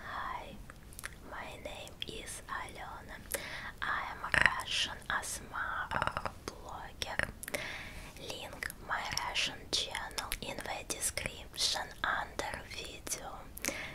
Hi, my name is Alena. I am Russian ASMR blogger. Link my Russian channel in the description under video.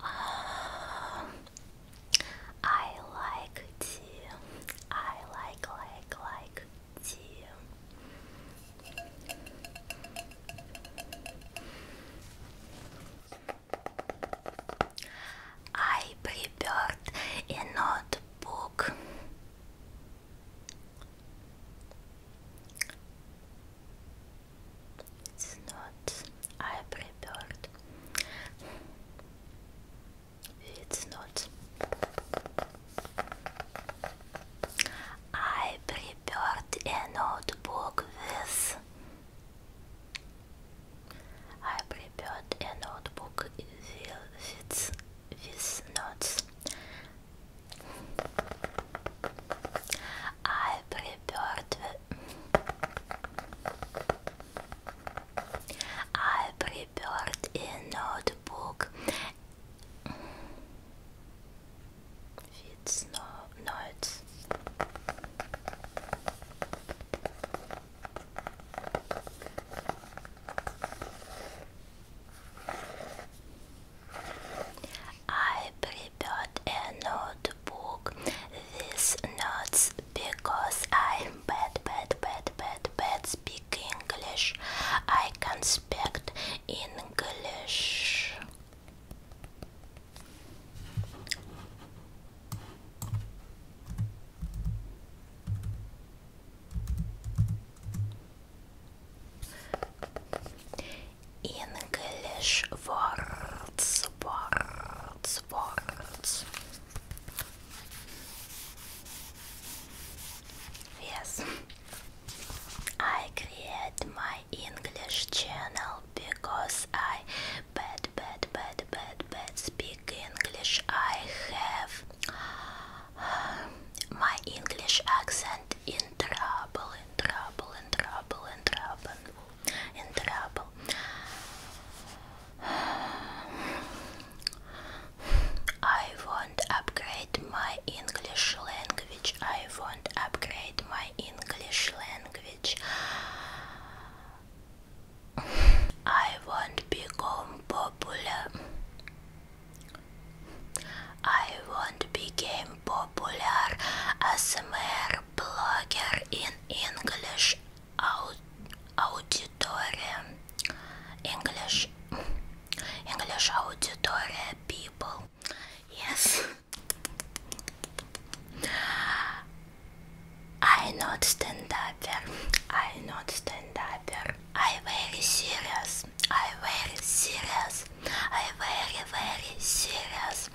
Um, I like to. I like, like, like to. I prepared a notebook. It's not I prepared. It's not I prepared a notebook with I prepared a notebook with, with, with not. I prepared. I prepared a notebook. It's no notes. I prepared a notebook with notes because I'm bad, bad, bad, bad, bad speak English. I can speak English. English words, words, words. Yes, I create my English channel because I bad, bad, bad, bad, bad speak English. I have My English accent in trouble, in trouble, in trouble, in trouble, in trouble. I won't upgrade my English language. I won't upgrade my English language. I won't become popular. I won't become popular as a mere blogger in English aud English English auditoria people. Yes. I not stand upper. I not stand upper. I very serious. I very serious. I very very serious.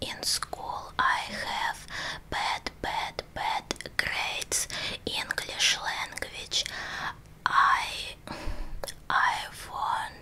In school I have bad bad bad grades. English language. I I won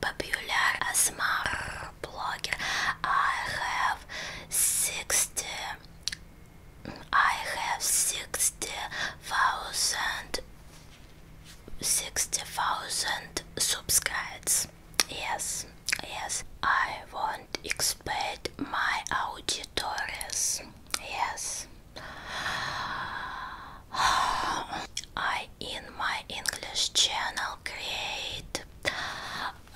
popular smart blogger. I have sixty. I have sixty thousand. Sixty thousand subscribers. Yes, yes. I want expand my auditories. Yes, I, in my English channel, create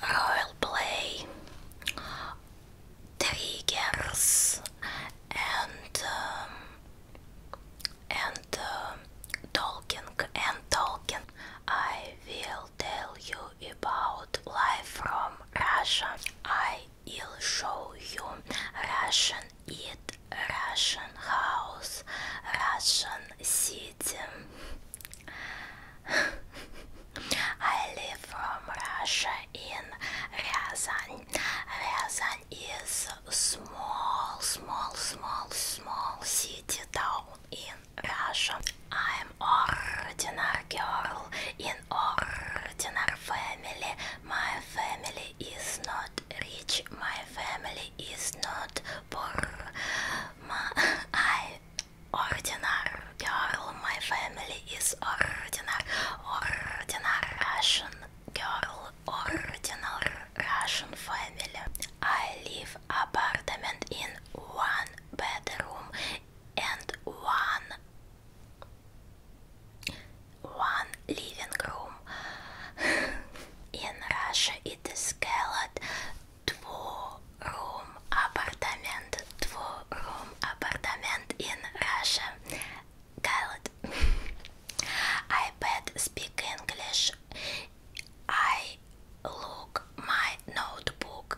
role play triggers and um, and uh, talking and talking. I will tell you about life from Russia. I will show you Russian eat Russian house, Russian city. I live from Russia in Ryazan. Ryazan is a small, small, small, small city town in Russia. I'm ordinary girl in ordinary family. My family is not rich, my family is not poor. My, I ordinary girl, my family is ordinary, ordinary Russian girl, ordinary Russian family. I live apartment in one bedroom and one one living room. In Russia it is called two-room apartment. Two-room apartment in Russia. Called. I bet speak English. I look my notebook.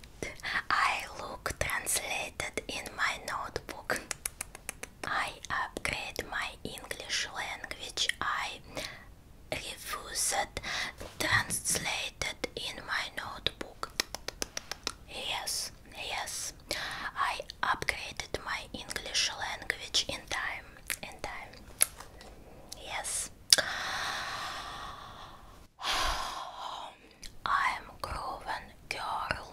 I look translated in my notebook. I upgraded my English language. I refused translated in my notebook. Yes, yes. I upgraded my English language in time. In time. Yes. I am grown girl.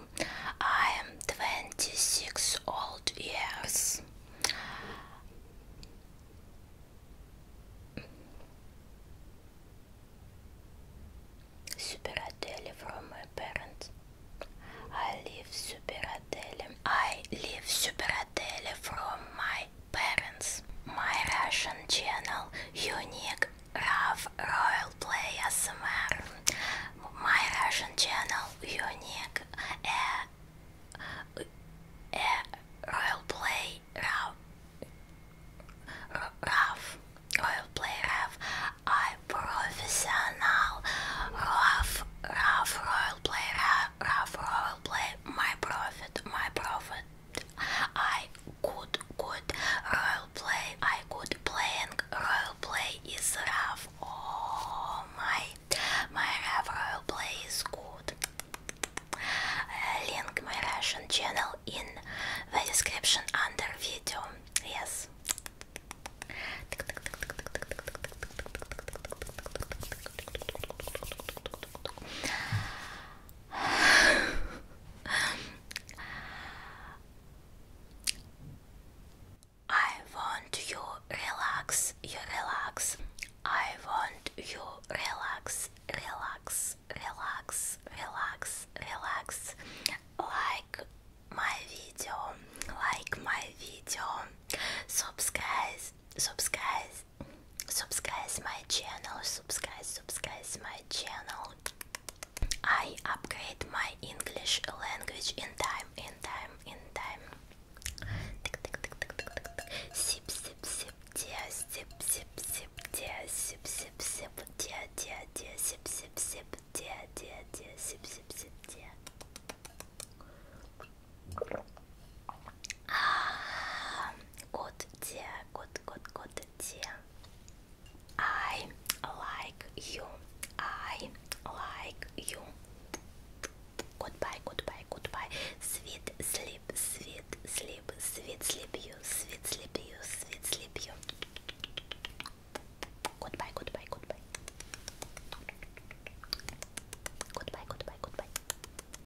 I am twenty six old years. Superateli from my parents. I live superateli. I live superateli from my parents. My Russian channel unique have Royal Play ASMR. My Russian channel unique uh, uh, Royal Play Rav Rav Royal Play Rav I professional Rav Rav Royal Play Rav Royal Play my profit my profit I could good role play. I could playing role play is rough. Oh my, my rough role play is good. Uh, link my Russian channel in the description under video. Yes. I want you relax, you relax. I want you relax, relax, relax, relax, relax. Like my video, like my video. Subscribe, subscribe, subscribe my channel, subscribe, subscribe my channel. I upgrade my English language in time, in time, in time. Sip, sip, sip, dear, sip, sip, sip, dear, sip, sip, sip, dear, dear, dear, sip, sip, sip, dear, dear, dear, sip, sip, sip, dear. Ah, good dear, good good, good dear. I like you. I like you. Goodbye, goodbye, goodbye. Sweet sleep, sweet sleep, sweet sleep you, sweet sleep you, sweet sleep you. Goodbye, goodbye, goodbye. Goodbye, goodbye, goodbye.